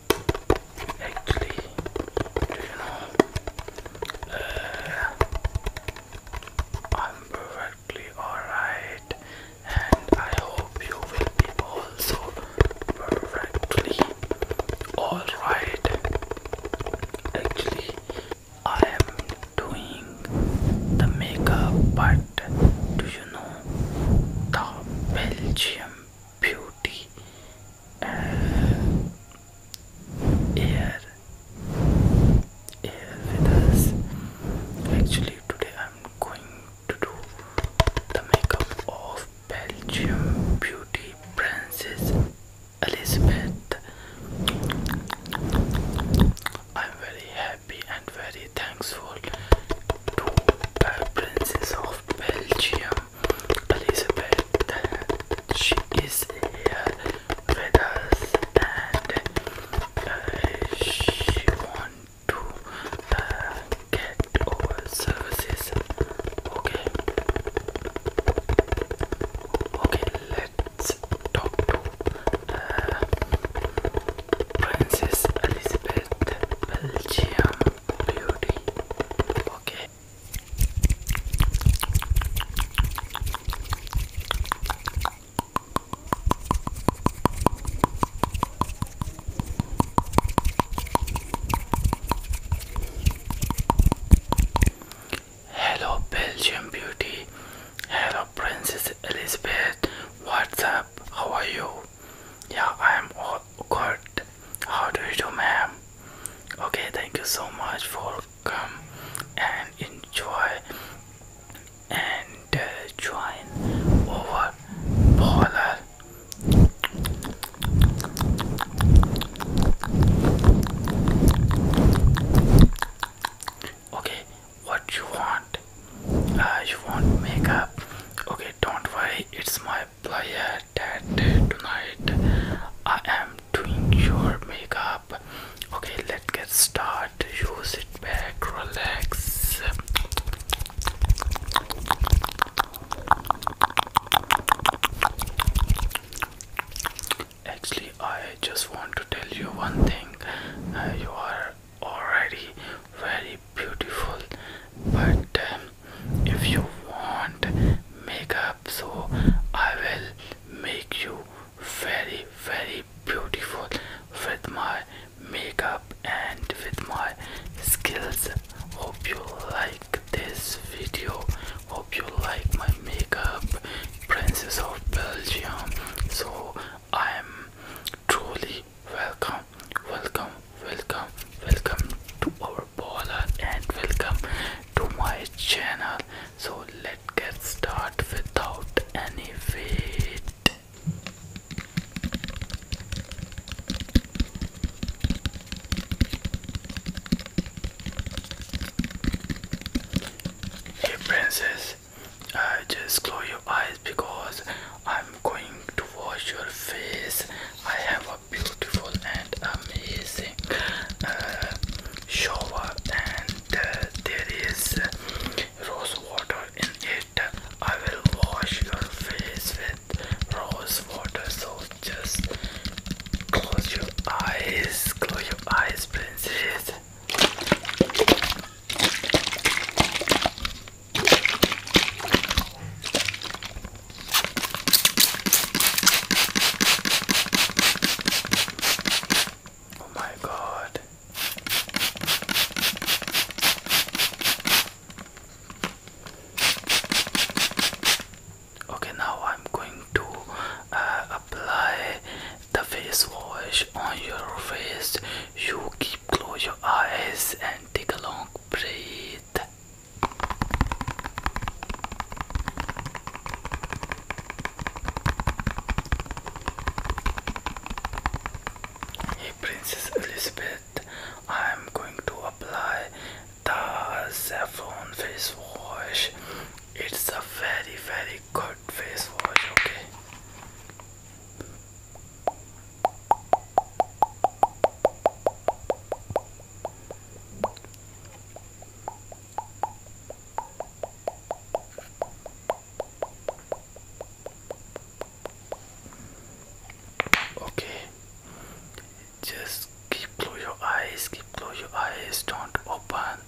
actually, do you know, I'm perfectly alright and I hope you will be also perfectly alright. Actually, I am doing the makeup but do you know the Belgium beauty air air with us actually today I'm going to do the makeup of Belgium beauty princess Elizabeth I'm very happy and very Thanks for to uh, Princess of Belgium, Elizabeth, uh, she is here with us and uh, she wants to uh, get our services. Okay. Okay, let's talk to uh, Princess Elizabeth Belgium Beauty. Okay. Hello, Belgium Beauty. Hello, Princess Elizabeth. What's up? How are you? Yeah, I am all good. How do you do, ma'am? Okay, thank you so much for come and enjoy and uh, join over Polar. Okay, what you want uh, you want makeup okay don't worry it's my player that tonight i am doing your makeup okay let's get started Use it back relax actually i just want to tell you one thing uh, you are already very beautiful but um, if you want makeup so I will make you very very beautiful with my makeup and with my skills hope you like this video hope you like my makeup princess of belgium so I am truly welcome, welcome, welcome, welcome to our baller and welcome to my channel. So let's get started without any wait. princess, uh, just close your eyes because I'm going to wash your face. I have a beautiful and amazing uh, shower, and uh, there is rose water in it. I will wash your face with rose water, so just close your eyes, close your eyes, princess. Oh my God. Okay, now I'm going to uh, apply the face wash on your face. You keep close your eyes and take a long breath. Hey Princess Elizabeth, I'm going to apply the saffron face wash. It's a very very good face wash, okay? Okay, just keep close your eyes, keep close your eyes, don't open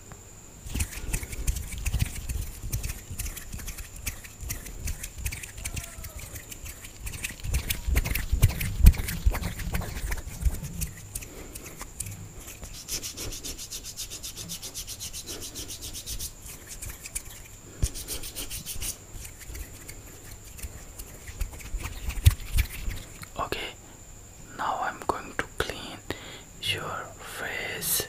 Okay, now I'm going to clean your face.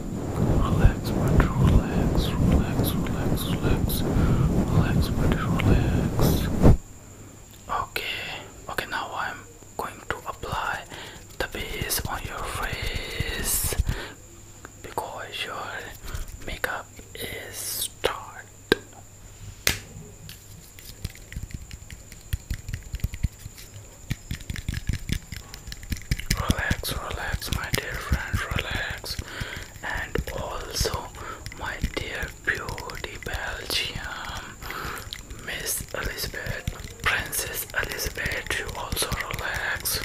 Relax, but relax, relax, relax, relax, relax, but relax. Okay, okay, now I'm going to apply the base on your face because your makeup is start relax relax my dear friends relax and also my dear beauty belgium miss elizabeth princess elizabeth you also relax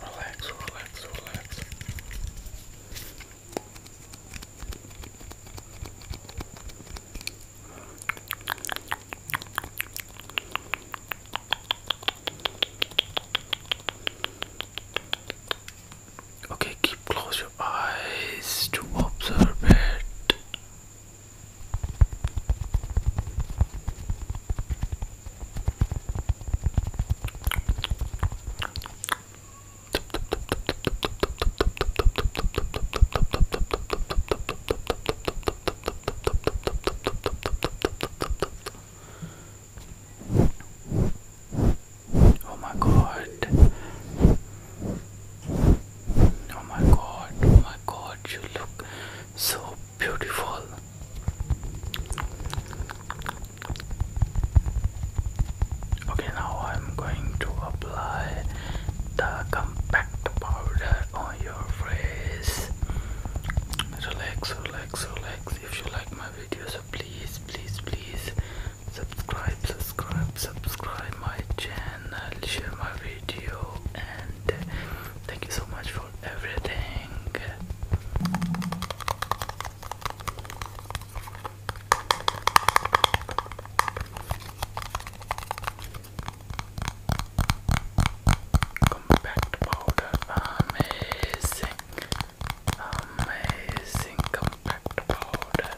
relax relax relax Okay, keep close your eyes to observe it. Oh my god. Oh my god. Oh my god. You look so beautiful. Okay, now I'm going to apply the compact powder on your face. Relax, relax, relax. If you like my video, please, please, please subscribe, subscribe, subscribe my channel, share my video, and thank you so much for everything. Compact powder, amazing, amazing compact powder.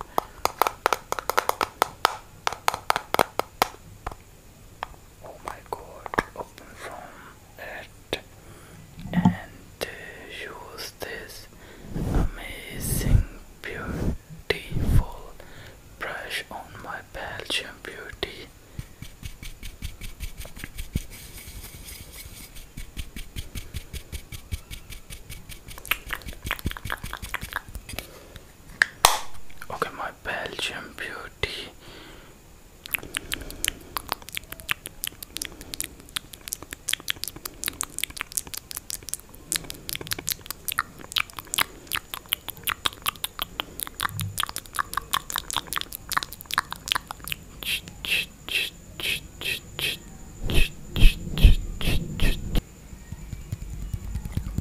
Oh my god, open from it and use this amazing, beautiful brush on my Belgian Beauty. Okay, my Belgian Beauty.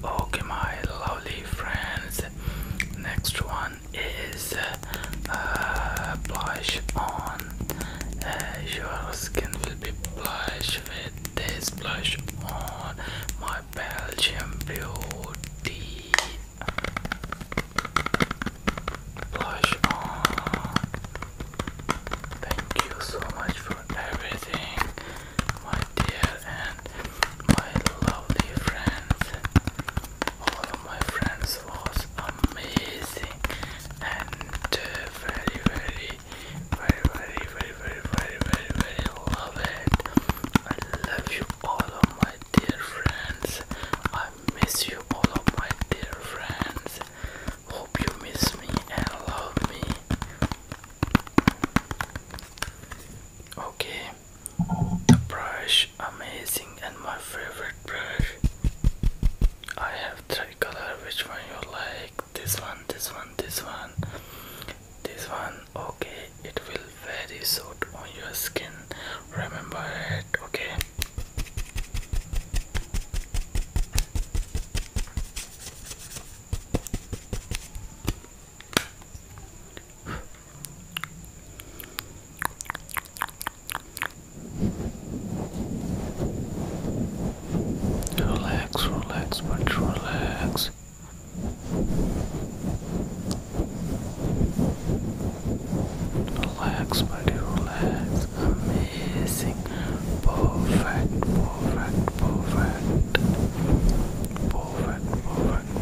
Okay, my lovely friends. Next one is uh, uh, blush on. Uh, your skin will be blush with this blush on. My my Belgian beauty blush on. Thank you so much for everything, my dear and my lovely friends. All my friends was amazing and uh, very, very, very, very, very, very, very, very, very love it. I love you all of my dear friends. I miss you all of my dear friends. Hope you miss me and love me. Okay, the brush, amazing and my favorite brush. I have three color. Which one you like? This one, this one, this one, this one okay it will very soot on your skin remember it okay Relax, relax, but relax. Relax, buddy, relax. Amazing. Perfect, perfect, perfect. Perfect, perfect,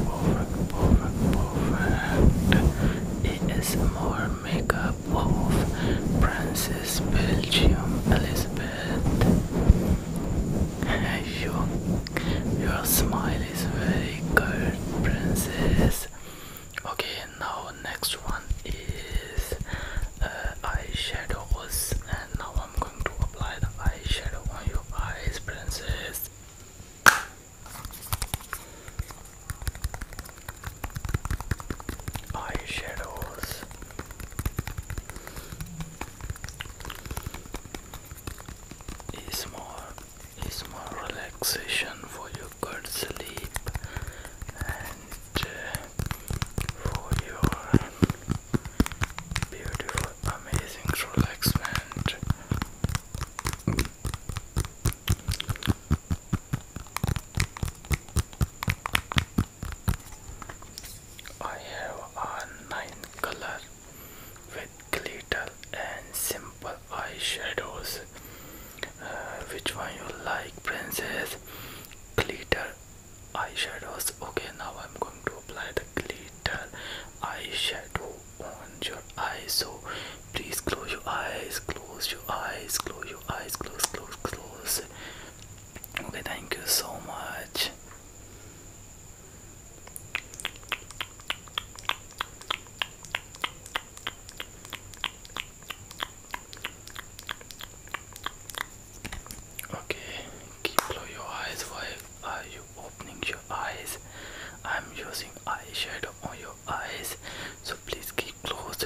perfect, perfect, perfect. ASMR makeup of Princess Belgium Elizabeth you, your smile is very good, princess. Okay, now next one is uh, eyeshadows, and now I'm going to apply the eyeshadow on your eyes, princess. Eyeshadows is more is more relaxation for your good sleep and uh, for your beautiful amazing relaxation. I have a nine color with glitter and simple eyeshadows. Uh, which one you like, princess? Glitter eyeshadows. Okay, now I'm going to apply the glitter eyeshadow on your eyes. So please close your eyes, close your eyes, close your eyes, close, close, close. Okay, thank you so much. Okay, keep close your eyes. Why are you opening your eyes? I'm using eye eyeshadow on your eyes, so please keep closed.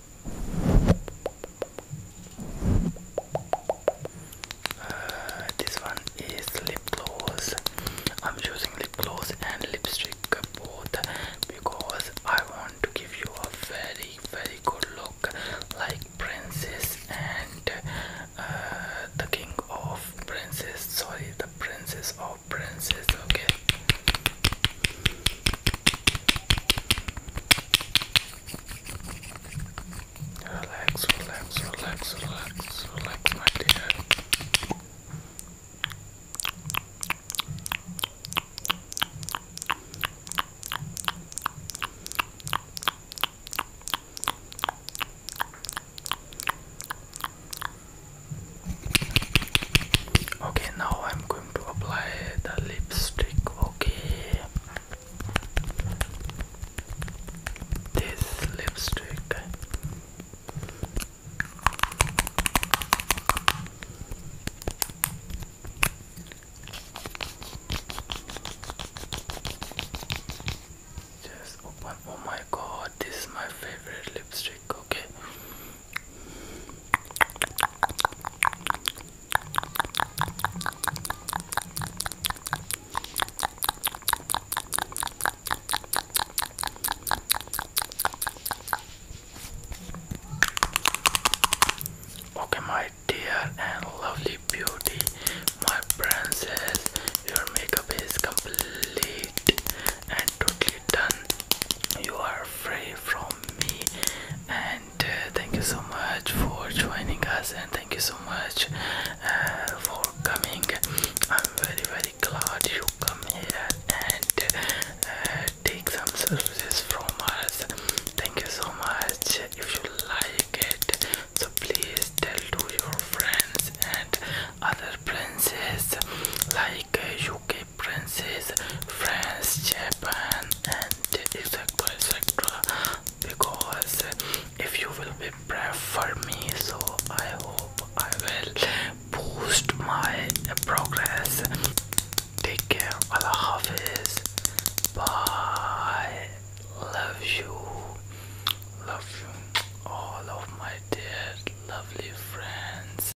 Uh, this one is lip gloss. I'm using lip gloss and lipstick both because I want to give you a very, very good look, like princess and uh, the king of princess. Sorry, the princess of princess. Okay. Relax, relax, relax, relax, relax, my dear. Okay, now I'm going to apply the lipstick okay this lipstick just open oh my god this is my favorite lipstick okay Okay, my dear and lovely beauty, my princess, your makeup is complete and totally done you are free from me and uh, thank you so much for joining us and thank you so much uh, for coming i'm very very glad you came here and uh, take some services from us thank you so much if you like it so please tell to your friends and other princess like uh, you can differences France, Japan, and etc. etc. Because if you will be for me, so I hope I will boost my progress. Take care, of Hafiz. Bye. Love you. Love you, all of my dear, lovely friends.